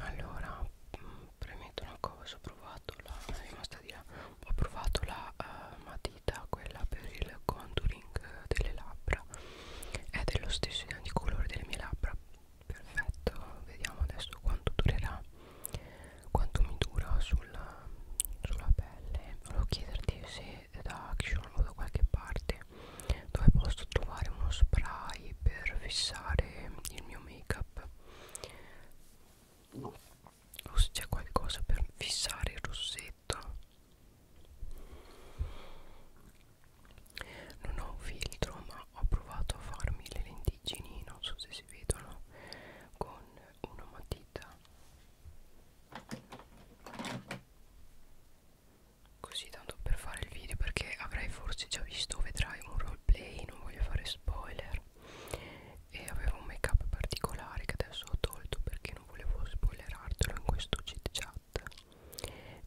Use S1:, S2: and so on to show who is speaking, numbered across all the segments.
S1: allora mm, premetto una cosa ho provato la è rimasta di là ho provato la uh, matita quella per il contouring delle labbra è dello stesso identico colore delle mie labbra perfetto vediamo adesso quanto durerà quanto mi dura sulla, sulla pelle volevo chiederti se da action o da qualche parte dove posso trovare uno spray per fissare il mio make up o se c'è qualcosa per fissare il rossetto non ho un filtro ma ho provato a farmi le lentiggini non so se si vedono con una matita così tanto per fare il video perché avrai forse già visto vedrai un roleplay non voglio fare spoiler e avevo un make up particolare che adesso ho tolto perché non volevo spoilerartelo in questo chit chat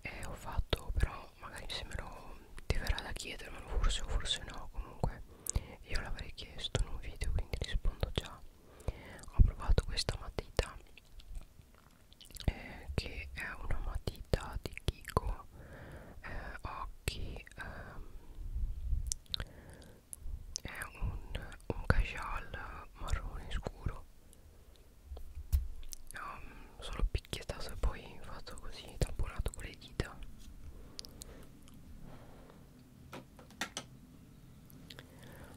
S1: e ho fatto però magari se me lo ti verrà da chiedermelo forse o forse no comunque io l'avrei chiesto in un video quindi rispondo già ho provato questa matita eh, che è una matita di Kiko eh, occhi ehm, è un, un cajal marrone scuro um, solo picchiettato e poi fatto così tamponato con le dita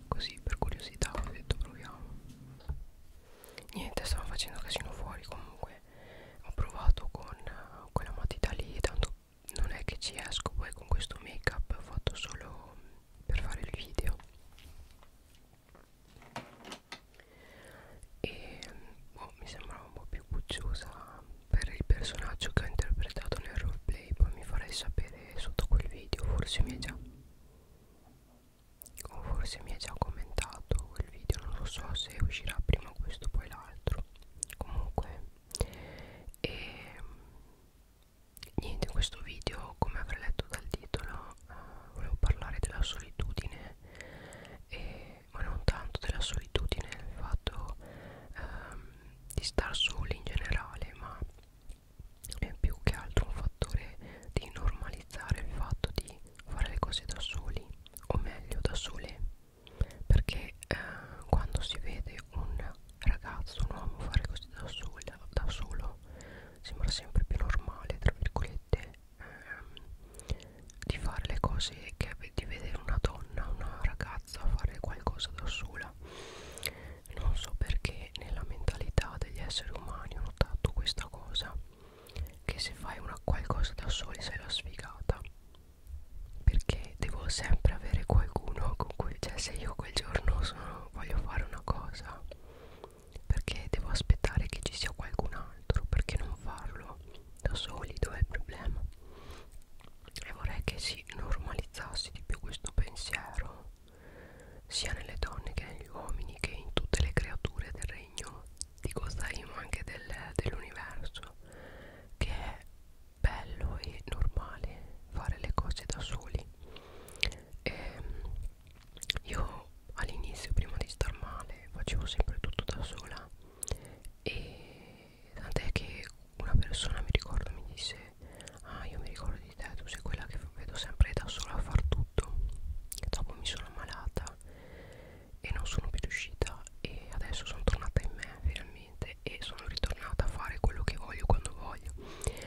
S1: così per curiosità ho detto proviamo niente stavo facendo casino fuori comunque ho provato con uh, quella matita lì tanto non è che ci esco poi con questo make up fatto solo per fare il video e boh, mi sembrava un po' più pucciosa per il personaggio che ho interpretato nel roleplay poi mi farei sapere sotto quel video forse mi è già o forse mi ha già commentato quel video non lo so se uscirà prima questo poi l'altro comunque e ehm, niente in questo video come avrei letto dal titolo eh, volevo parlare della solitudine e, ma non tanto della solitudine il fatto ehm, di star soli in generale ma è più che altro un fattore di normalizzare il fatto di fare le cose da soli o meglio da sole perché eh, quando si vede un ragazzo un uomo fare cose da, sola, da solo sembra sempre più normale tra virgolette ehm, di fare le cose che di vedere una donna una ragazza fare qualcosa da sola non so perché nella mentalità degli esseri umani ho notato questa cosa che se fai una qualcosa da soli sei la sfigata perché devo sempre avere qualcuno con cui cioè se io quel giorno sono, voglio fare una cosa perché devo aspettare che ci sia qualcun altro perché non farlo da soli dov'è il problema e vorrei che si normalizzasse di più questo pensiero sia nelle donne che negli uomini che in tutte le creature del regno di Gozaimo anche del, dell'universo che è bello e normale fare le cose da soli e ehm, io all'inizio prima di star male facevo sempre tutto da sola e tant'è che una persona mi ricordo mi disse ah io mi ricordo di di cioè, te tu sei quella che vedo sempre da sola a far tutto dopo mi sono ammalata e non sono più riuscita e adesso sono tornata in me finalmente e sono ritornata a fare quello che voglio quando voglio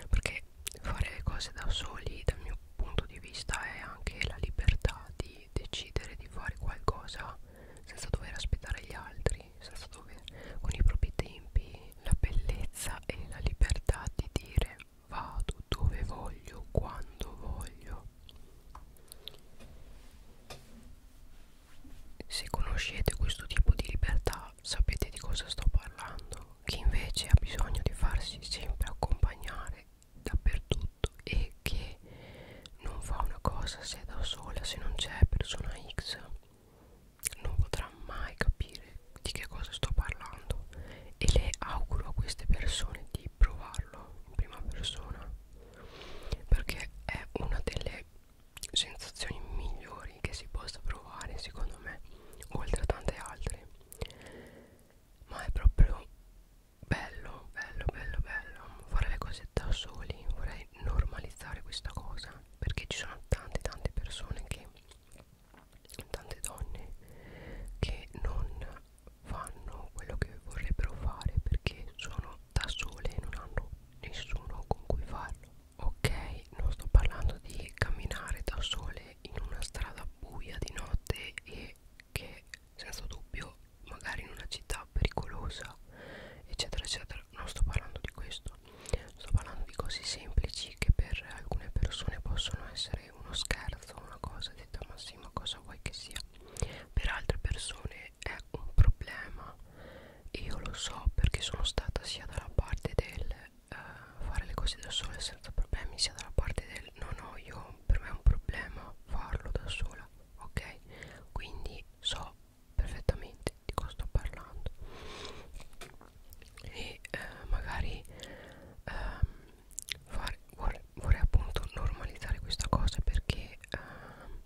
S1: perché fare le cose da soli dal mio punto di vista è anche la libertà di decidere di fare qualcosa senza dover aspettare gli altri senza dover con i propri tempi la bellezza e la libertà di dire vado dove voglio, quando voglio. Se conoscete questo tipo di libertà sapete di cosa sto parlando. Chi invece ha bisogno di farsi sempre accompagnare dappertutto e che non fa una cosa se da sola, se non c'è persona X, non potrà mai capire di che cosa sto parlando e le auguro a queste persone di provarlo in prima persona perché è una delle sensazioni migliori che si possa provare secondo me oltre a tante altre ma è proprio bello bello bello bello fare le cose da soli vorrei normalizzare questa cosa perché ci sono tante tante persone che tante donne che non fanno quello che vorrebbero fare perché sono da sole e non hanno nessuno con cui farlo ok non sto parlando di camminare da sole in una strada buia di notte e che senza dubbio magari in una città pericolosa eccetera eccetera non sto parlando di questo sto parlando di cose semplici che per alcune persone possono essere è uno scherzo, una cosa detta ma sì, ma cosa vuoi che sia? Per altre persone è un problema, io lo so perché sono stata sia dalla parte del eh, fare le cose da sola senza problemi, sia dalla parte del no no, io per me è un problema farlo da sola, ok? Quindi so perfettamente di cosa sto parlando e eh, magari ehm, fare, vorrei, vorrei appunto normalizzare questa cosa perché ehm,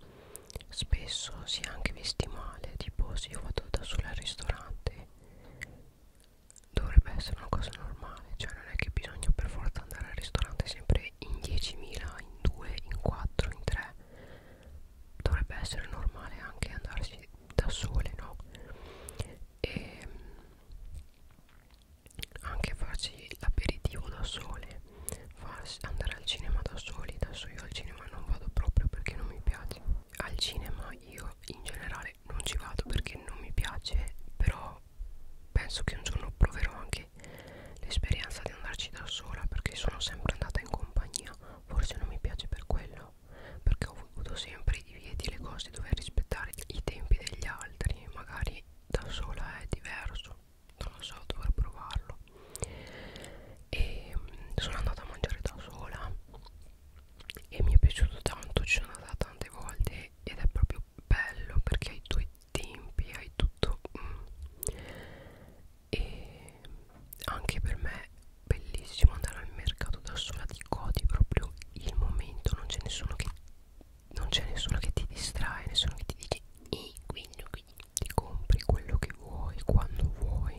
S1: spesso si è anche visti male tipo se io vado da sola al ristorante dovrebbe essere una cosa normale cioè non è che bisogna per forza andare al ristorante sempre in 10.000 in 2 in 4 in 3 dovrebbe essere normale anche andarsi da sole no e mm, anche farsi l'aperitivo da sole farsi, andare al cinema da soli adesso io al cinema non vado proprio perché non mi piace al cinema io in generale non ci vado perché non mi piace però penso che un giorno proverò anche l'esperienza di andarci da sola perché sono sempre andata in compagnia forse non mi piace per quello perché ho voluto sempre i divieti e le cose dover rispettare i tempi degli altri magari da sola è diverso non lo so dovrò provarlo e mm, sono andata a mangiare da sola e mi è piaciuto tanto ci sono andata tante volte ed è proprio bello perché hai i tuoi tempi hai tutto mm. e anche per me bellissimo andare al mercato da sola ti godi proprio il momento non c'è nessuno che non c'è nessuno che ti distrae nessuno che ti dice e quindi, quindi ti compri quello che vuoi quando vuoi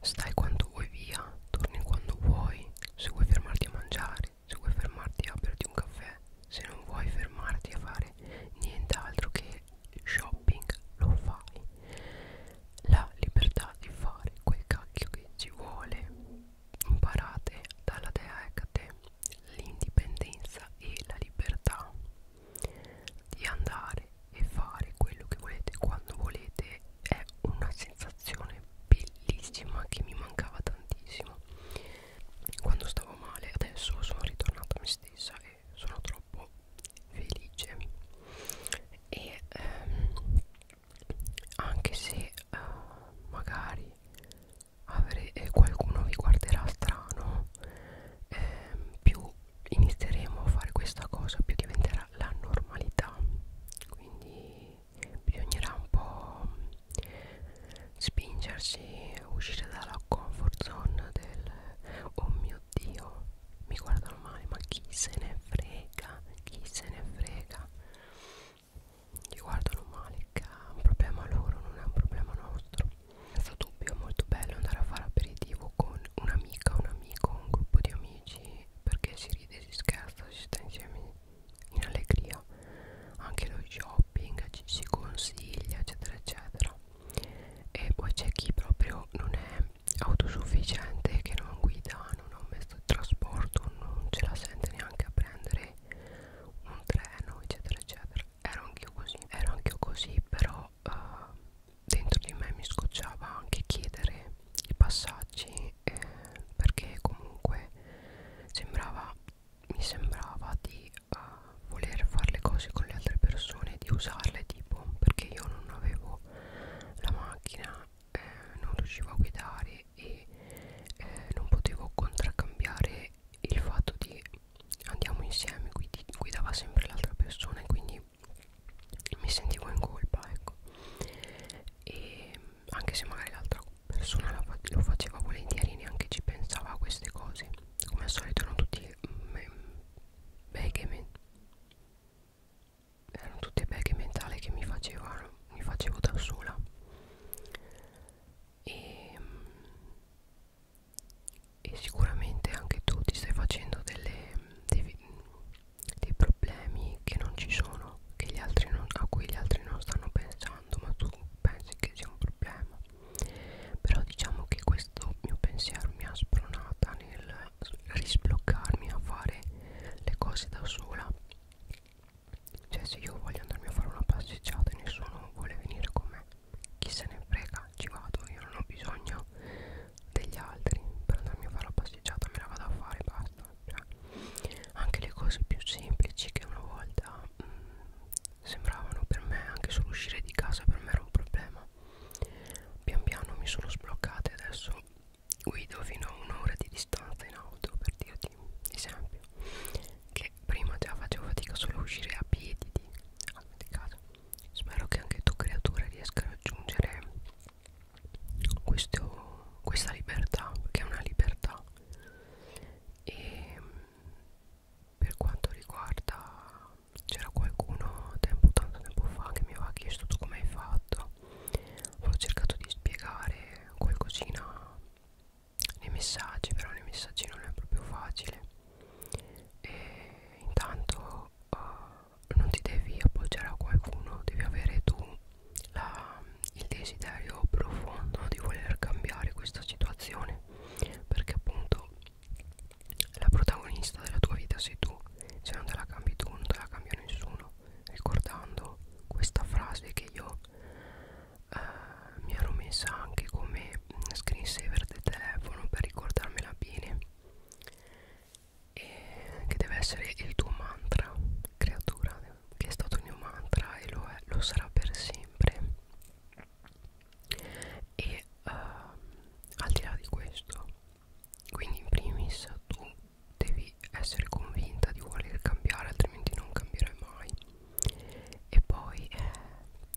S1: stai quando vuoi via torni quando vuoi se vuoi fermarti a mangiare se vuoi fermarti a berti un caffè se non vuoi fermarti a fare nient'altro che shopping lo fai la libertà di fare quel cacchio che ci vuole imparate dalla dea Hecate ecco l'indipendenza e la libertà di andare e fare quello che volete quando volete è una sensazione bellissima che mi mancava tantissimo quando stavo male adesso sono ritornata a me stessa e sono troppo felice e ehm, anche se uh, magari avere, eh, qualcuno vi guarderà strano eh, più inizieremo a fare questa cosa più diventerà la normalità quindi bisognerà un po' spingersi uscire dalla comfort zone del oh mio dio mi guardano male ma chi se ne frega chi se ne frega ti guardano male che è un problema loro non è un problema nostro senza dubbio è molto bello andare a fare aperitivo con un'amica un amico un gruppo di amici perché si ride si scherza si sta insieme in allegria anche lo shopping ci si consiglia eccetera eccetera e poi c'è chi proprio non è autosufficiente che non guida, non ha un mezzo di trasporto, non ce la sente neanche a prendere un treno, eccetera, eccetera. Ero anch'io così, ero anch'io così, però uh, dentro di me mi scocciava anche chiedere i passaggi eh, perché comunque sembrava mi sembrava di uh, voler fare le cose con le altre persone, di usarle tipo perché io non avevo la macchina eh, non riuscivo a guidare e eh, non potevo contraccambiare il fatto di andiamo insieme guidi, guidava sempre l'altra persona e quindi mi sentivo in colpa ecco e anche se magari l'altra persona lo faceva volentieri neanche ci pensava a queste cose come al solito erano tutti beghe mm, mm, erano tutte beghe mentali che mi facevano mi facevo da sola e, e sicuramente anche tu ti stai facendo delle, dei, dei problemi che non ci sono che gli altri non, a cui gli altri non stanno pensando ma tu pensi che sia un problema però diciamo che questo mio pensiero mi ha spronata nel risbloccarmi a fare le cose da sola cioè se io voglio andarmi a fare una passeggiata e nessuno vuole venire con me chi se ne frega ci vado io non ho bisogno degli altri per andarmi a fare la passeggiata me la vado a fare basta cioè, anche le cose più semplici che una volta mh, mm, sembravano per me anche solo uscire di casa per me era un problema pian piano mi sono sbloccata e adesso guido fino a un'ora di distanza in auto per dirti un esempio che prima già facevo fatica solo a uscire a piedi di, ah, di casa spero che anche tu creatura riesca a raggiungere questo, questa libertà che è una libertà e per quanto riguarda c'era qualcuno tempo tanto tempo fa che mi aveva chiesto tu come hai fatto fatto ho cercato di spiegare qualcosina nei messaggi però nei messaggi non è proprio facile e intanto uh, non ti devi appoggiare a qualcuno devi avere tu la, il desiderio profondo di voler cambiare questa situazione perché appunto la protagonista della tua vita sei tu, se non te la cambi tu non te la cambia nessuno, ricordando questa frase che io eh, mi ero messa anche come screensaver del telefono per ricordarmela bene, e che deve essere il tuo mantra, creatura, che è stato il mio mantra e lo, è, lo sarà per sempre. E uh, al di là di questo quindi in primis tu devi essere convinta di voler cambiare altrimenti non cambierai mai e poi eh,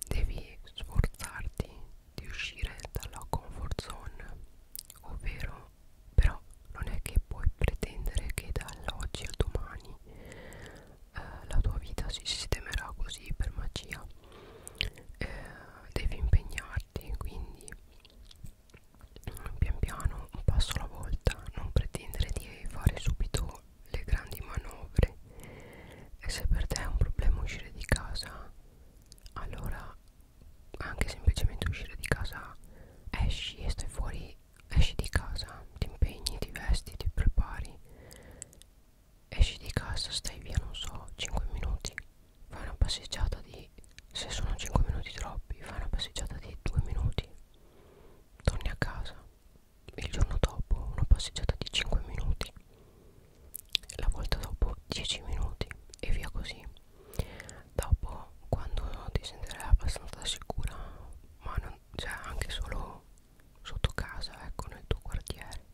S1: devi sforzarti di uscire dalla comfort zone ovvero però non è che puoi pretendere che dall'oggi al domani eh, la tua vita si sistemerà così per magia eh, devi impegnarti quindi pian piano un passo alla volta non pretendere di fare subito le grandi manovre e se per te è un problema uscire di casa allora anche semplicemente uscire di casa esci e stai fuori esci di casa ti impegni ti vesti ti prepari esci di casa stai via non so 5 minuti fai una passeggiata di se sono 5 minuti troppi fai una passeggiata di 2 minuti torni a casa il giorno dopo una passeggiata di 5 minuti la volta dopo 10 minuti e via così dopo quando ti sentirai abbastanza sicura ma non c'è cioè anche solo sotto casa ecco nel tuo quartiere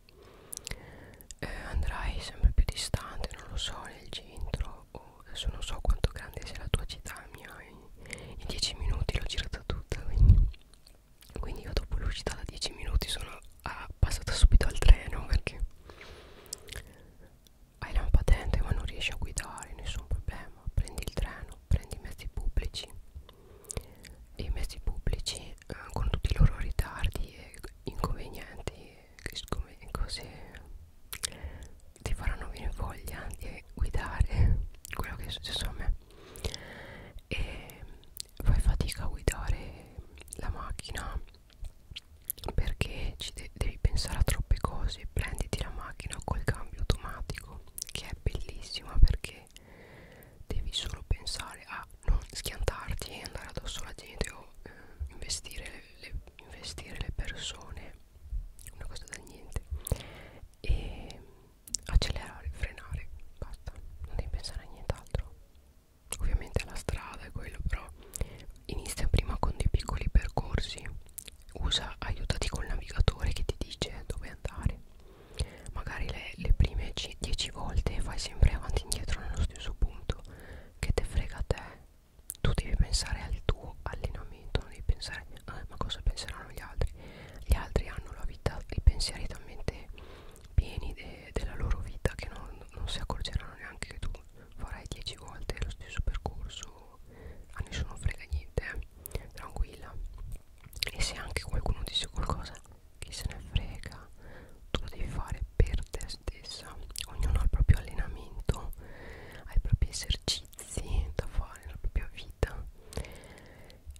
S1: eh, andrai sempre più distante non lo so nel centro o adesso non so quanto grande sia la tua città mia in 10 minuti l'ho girata tutta quindi, quindi io dopo l'ho uscita da 10 minuti sono a, ah, passata subito al treno perché hai la patente ma non riesci a guidare nessun problema prendi il treno prendi i mezzi pubblici e i mezzi pubblici eh, con tutti i loro ritardi e inconvenienti come cose ti faranno venire voglia di guidare quello che è successo a me e fai fatica a guidare la macchina perché ci de devi pensare a troppe cose prenditi la macchina col cambio automatico che è bellissima perché devi solo pensare a non schiantarti e andare addosso alla gente o eh, investire, le, investire le persone una cosa da niente e accelerare, frenare, basta, non devi pensare a nient'altro ovviamente la strada è quello però inizia prima con dei piccoli percorsi usa, aiutati col navigatore che ti dice dove andare magari le, le prime 10 volte fai sempre avanti e indietro nello stesso punto che te frega te tu devi pensare al tuo allenamento non devi pensare ah, ma cosa penseranno gli altri gli altri hanno la vita i pensieri talmente pieni de, della loro vita che non, non si accorgeranno neanche che tu farai 10 volte lo stesso percorso a nessuno frega niente eh? tranquilla e se anche qualcuno dice qualcosa chi se ne frega tu lo devi fare per te stessa ognuno ha il proprio allenamento ha i propri esercizi da fare nella propria vita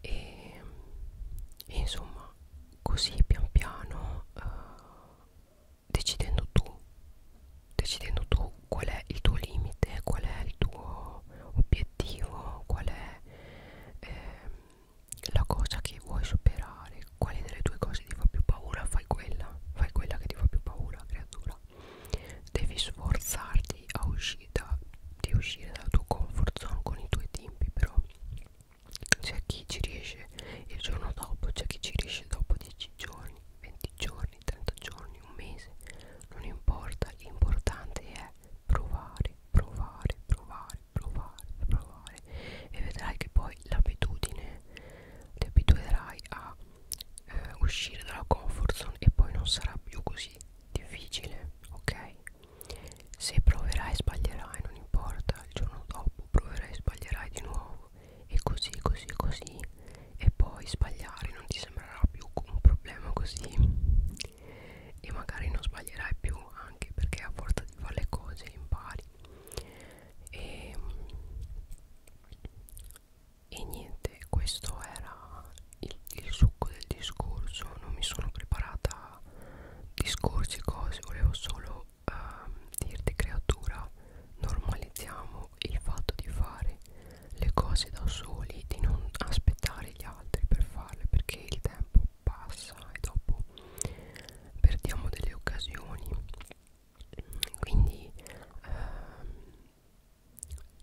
S1: e, e insomma così pian piano uh, decidendo tu decidendo tu qual è il tuo limite qual è il tuo obiettivo qual è eh, la cosa che vuoi superare quale delle due cose ti fa più paura fai quella fai quella che ti fa più paura creatura devi sforzarti a uscire da, di uscire dal tuo comfort zone con i tuoi tempi però c'è chi ci riesce il giorno dopo c'è chi ci riesce dopo 10 giorni 20 giorni 30 giorni un mese non importa l'importante è provare provare provare provare, provare, provare e vedrai che poi l'abitudine ti abituerai a eh, uscire dalla comfort zone e poi non sarà più così difficile, ok? Se proverai sbaglierai, non importa, il giorno dopo proverai sbaglierai di nuovo e così, così, così e poi sbagliare non ti sembrerà più un problema così e magari non sbaglierai più anche perché a forza di fare le cose impari e, e niente questo era il, il succo del discorso non mi sono preparata discorsi cose volevo solo uh, dirti creatura normalizziamo il fatto di fare le cose da soli di non aspettare gli altri per farle perché il tempo passa e dopo perdiamo delle occasioni quindi ehm,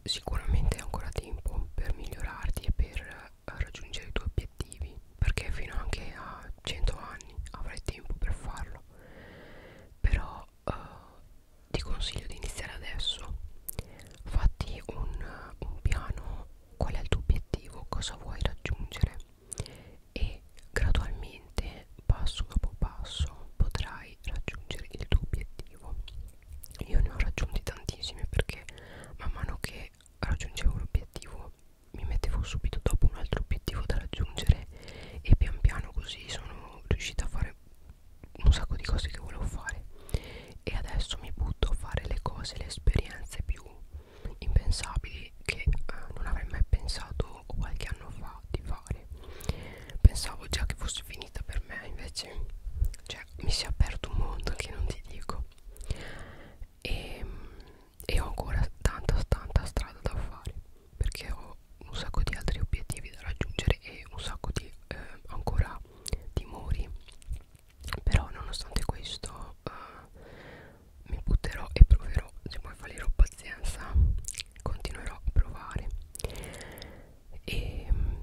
S1: sicuramente hai ancora tempo per migliorarti e per eh, raggiungere i tuoi obiettivi perché fino anche a 100 anni avrai tempo per farlo però eh, ti consiglio di iniziare adesso fatti un, un piano qual è il tuo obiettivo cosa vuoi raggiungere e gradualmente passo dopo passo potrai raggiungere il tuo obiettivo io ne ho raggiunti tantissimi perché man mano che raggiungevo un obiettivo mi mettevo subito dopo un altro obiettivo da raggiungere e pian piano così sono riuscita a fare un sacco di cose che volevo fare e adesso mi butto a fare le cose, le esperienze più impensabili che eh, non avrei mai pensato qualche anno fa di fare pensavo già che fosse finita per me invece cioè mi si è aperto un mondo che non ti dico e, ehm, e ho ancora tanta tanta strada da fare perché ho un sacco di altri obiettivi da raggiungere e un sacco di eh, ancora timori però nonostante questo uh, mi butterò e proverò se poi fallirò pazienza continuerò a provare e um,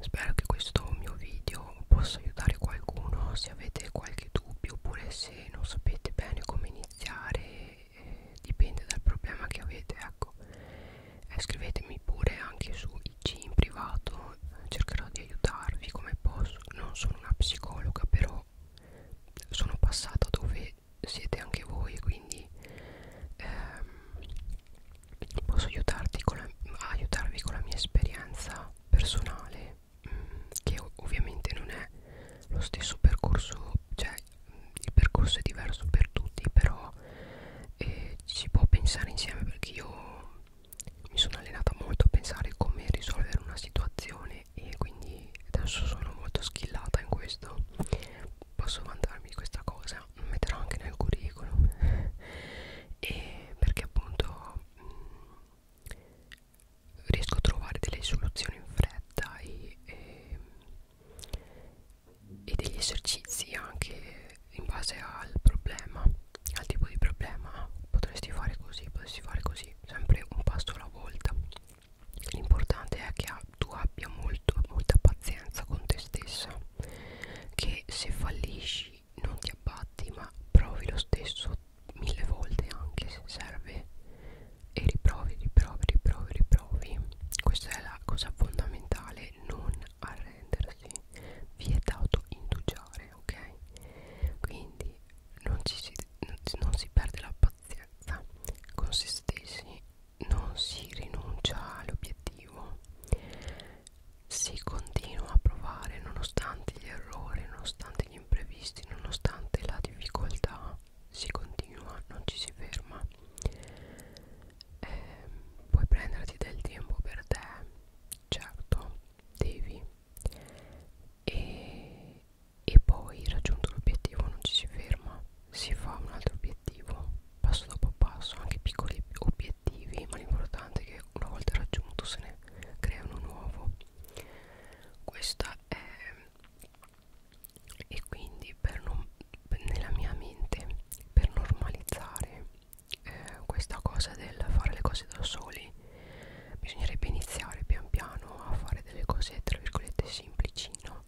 S1: spero che questo mio video possa aiutare qualcuno se avete qualche dubbio oppure se non sapete bene come iniziare eh, dipende dal problema che avete ecco eh, scrivetemi pure anche su IG in privato cercherò di aiutarvi come posso non sono una psicologa però sono passata dove siete anche voi quindi ehm, posso aiutarti con la, aiutarvi con la mia esperienza personale mh, mm, che ovviamente non è lo stesso percorso cioè il percorso è diverso per tutti però eh, si può pensare insieme perché io mi sono allenata molto a pensare come risolvere una situazione e quindi adesso sono molto schillata in questo posso vantarmi di questa cosa lo metterò anche nel curriculum e perché appunto mh, mm, riesco a trovare delle soluzioni in fretta e, e, ehm, e degli esercizi anche in base al problema al tipo di problema potresti fare così, potresti fare così, sempre un passo alla volta. L'importante è che tu abbia molto, molta pazienza con te stessa, che se fallisci non ti abbatti, ma provi lo stesso mille volte anche se serve e riprovi, riprovi, riprovi, riprovi. Questa è la cosa fondamentale, non arrendersi, vietato indugiare fare ok quindi non, ci si, non si perde la pazienza con se stessi non si rinuncia all'obiettivo si continua a provare nonostante gli errori nonostante gli imprevisti nonostante la difficoltà si continua non ci si ferma eh, puoi prenderti del tempo per te certo devi e, e poi raggiunto l'obiettivo non ci si ferma si fa un altro obiettivo passo dopo passo anche piccoli obiettivi ma l'importante è che una volta raggiunto se ne crea uno nuovo questa è e quindi per non, nella mia mente per normalizzare eh, questa cosa del fare le cose da soli bisognerebbe iniziare pian piano a fare delle cose tra virgolette semplici no?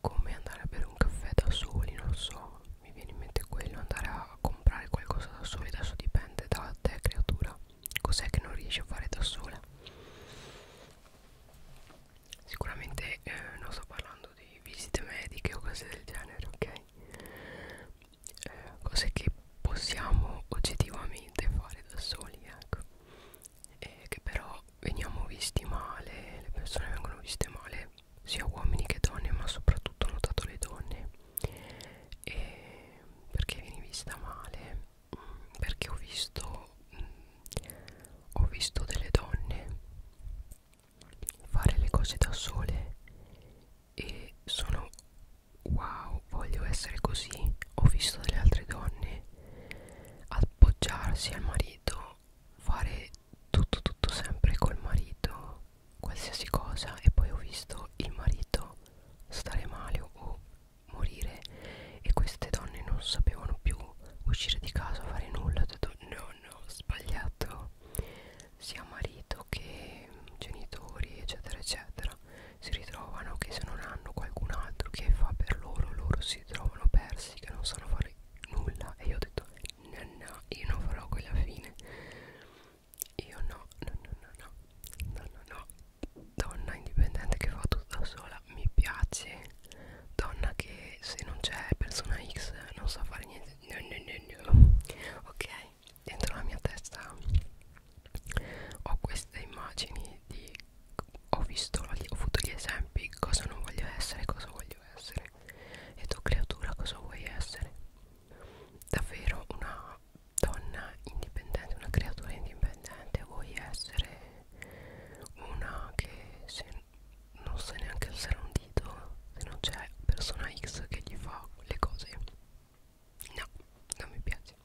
S1: come andare a bere un caffè da soli non so mi viene in mente quello andare a comprare qualcosa da soli adesso dipende da te creatura cos'è che non riesci a fare da sola sicuramente eh, non sto parlando di visite mediche o cose del genere ok cose che possiamo oggettivamente fare da soli ecco e che però veniamo visti male le persone vengono viste male sia uomini che donne ma soprattutto ho notato le donne e perché vieni vista male mm, perché ho visto mm, ho visto delle donne fare le cose da sole e sono wow voglio essere così ho visto delle altre donne appoggiarsi al marito fare tutto tutto sempre col marito qualsiasi cosa e poi ho visto il marito stare male o morire e queste donne non sapevano più uscire di casa fare nulla ho detto no no sbagliato sia marito che genitori eccetera eccetera si ritrovano che se non hanno qualcun altro che fa per loro loro si trovano persi che non sanno fare nulla e io ho detto no no io non farò quella fine io no no no no no no no no donna indipendente che fa tutto da sola mi piace donna che se non c'è persona X non sa fare niente no no no no ok dentro la mia testa ho queste immagini di ho visto, ho avuto gli esempi cosa non voglio essere, cosa voglio essere e tu creatura cosa vuoi essere davvero una donna indipendente, una creatura indipendente vuoi essere una che se non sa neanche alzare un dito capito se non c'è persona X che gli fa le cose no non mi piace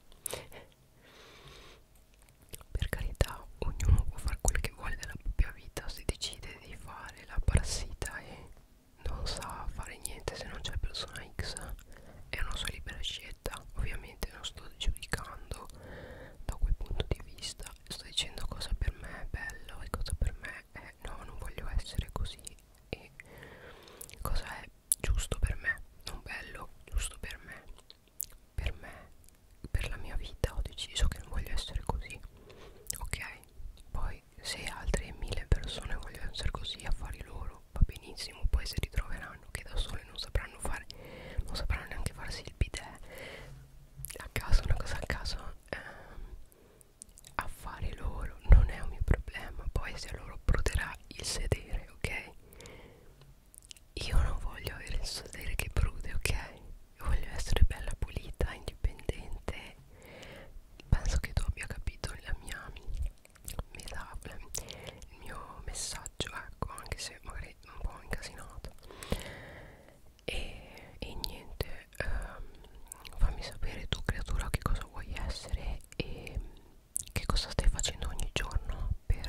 S1: per carità ognuno può fare quel che vuole della propria vita si decide di fare la parassita e non sa fare niente se non c'è persona X è una sua libera scelta ovviamente non sto giudicando da quel punto di vista sto dicendo cosa per me è bello e cosa per me è no non voglio essere così e cosa è giusto per me non bello giusto per me per me per la mia vita ho deciso che non voglio essere così ok poi se altre mille persone vogliono essere così a fare loro va benissimo poi se ritroveranno che da sole non sapranno fare non sapranno neanche farsi il bidet a caso una cosa a caso ehm, affari loro non è un mio problema poi se loro pruderà il sedere ok io non voglio avere il sedere che prude ok io voglio essere bella pulita indipendente penso che tu abbia capito la mia metafora il mio messaggio ecco anche se magari un po' incasinato e, e niente ehm, fammi sapere tu creatura che cosa vuoi essere e che cosa stai facendo ogni giorno per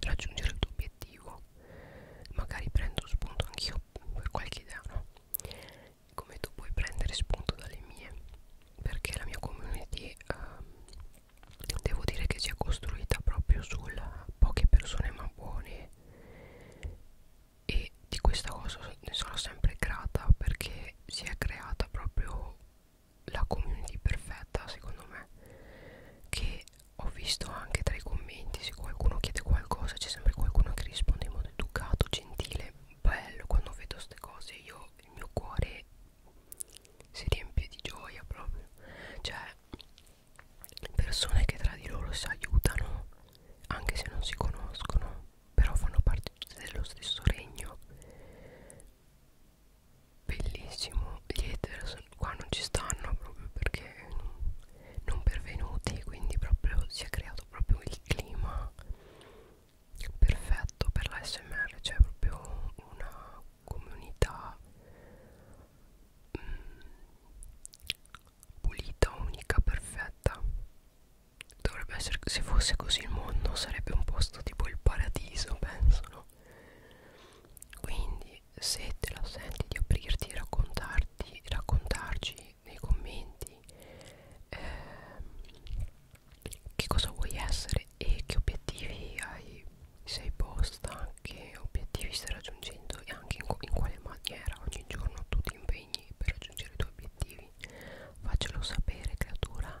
S1: raggiungere il tuo obiettivo magari prendo spunto anch'io per qualche idea no? come tu puoi prendere spunto dalle mie perché la mia community ehm, devo dire che si è costruita proprio sulla poche persone ma buone e di questa cosa ne sono sempre grata perché si è creata proprio la community perfetta secondo me che ho visto anche tra i commenti se qualcuno chiede qualcosa c'è sempre qualcuno che risponde in modo educato gentile bello quando vedo queste cose io il mio cuore si riempie di gioia proprio cioè persone che tra di loro si aiutano anche se non si conoscono però fanno parte tutte dello stesso regno bellissimo gli haters qua non ci stanno proprio perché non, non pervenuti quindi proprio si è creato proprio il clima perfetto per la smr c'è cioè proprio una comunità mh, mm, pulita unica perfetta Dovrebbe essere, se fosse così il mondo sarebbe un posto tipo il paradiso, penso, no? Quindi se te la senti di aprirti e raccontarti, raccontarci nei commenti ehm, che cosa vuoi essere e che obiettivi hai, sei posta, che obiettivi stai raggiungendo e anche in, in quale maniera ogni giorno tu ti impegni impegni per raggiungere i tuoi obiettivi faccelo sapere creatura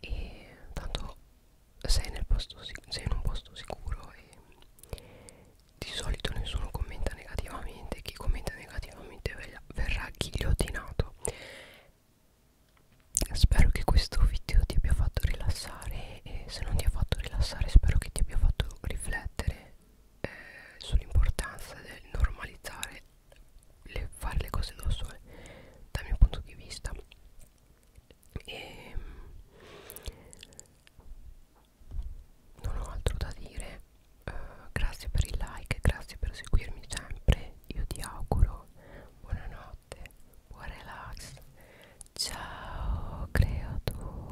S1: e tanto sei, nel posto, sei in un posto sicuro e di solito nessuno commenta negativamente chi commenta negativamente verrà ghigliottinato spero che questo video ti abbia fatto rilassare e se non ti ha fatto rilassare spero che ti abbia fatto riflettere eh, sull'importanza del normalizzare le, fare le cose da sole dal mio punto di vista e ehm, non ho altro da dire uh, grazie per il like grazie per seguirmi sempre io ti auguro buonanotte buon relax ciao creatura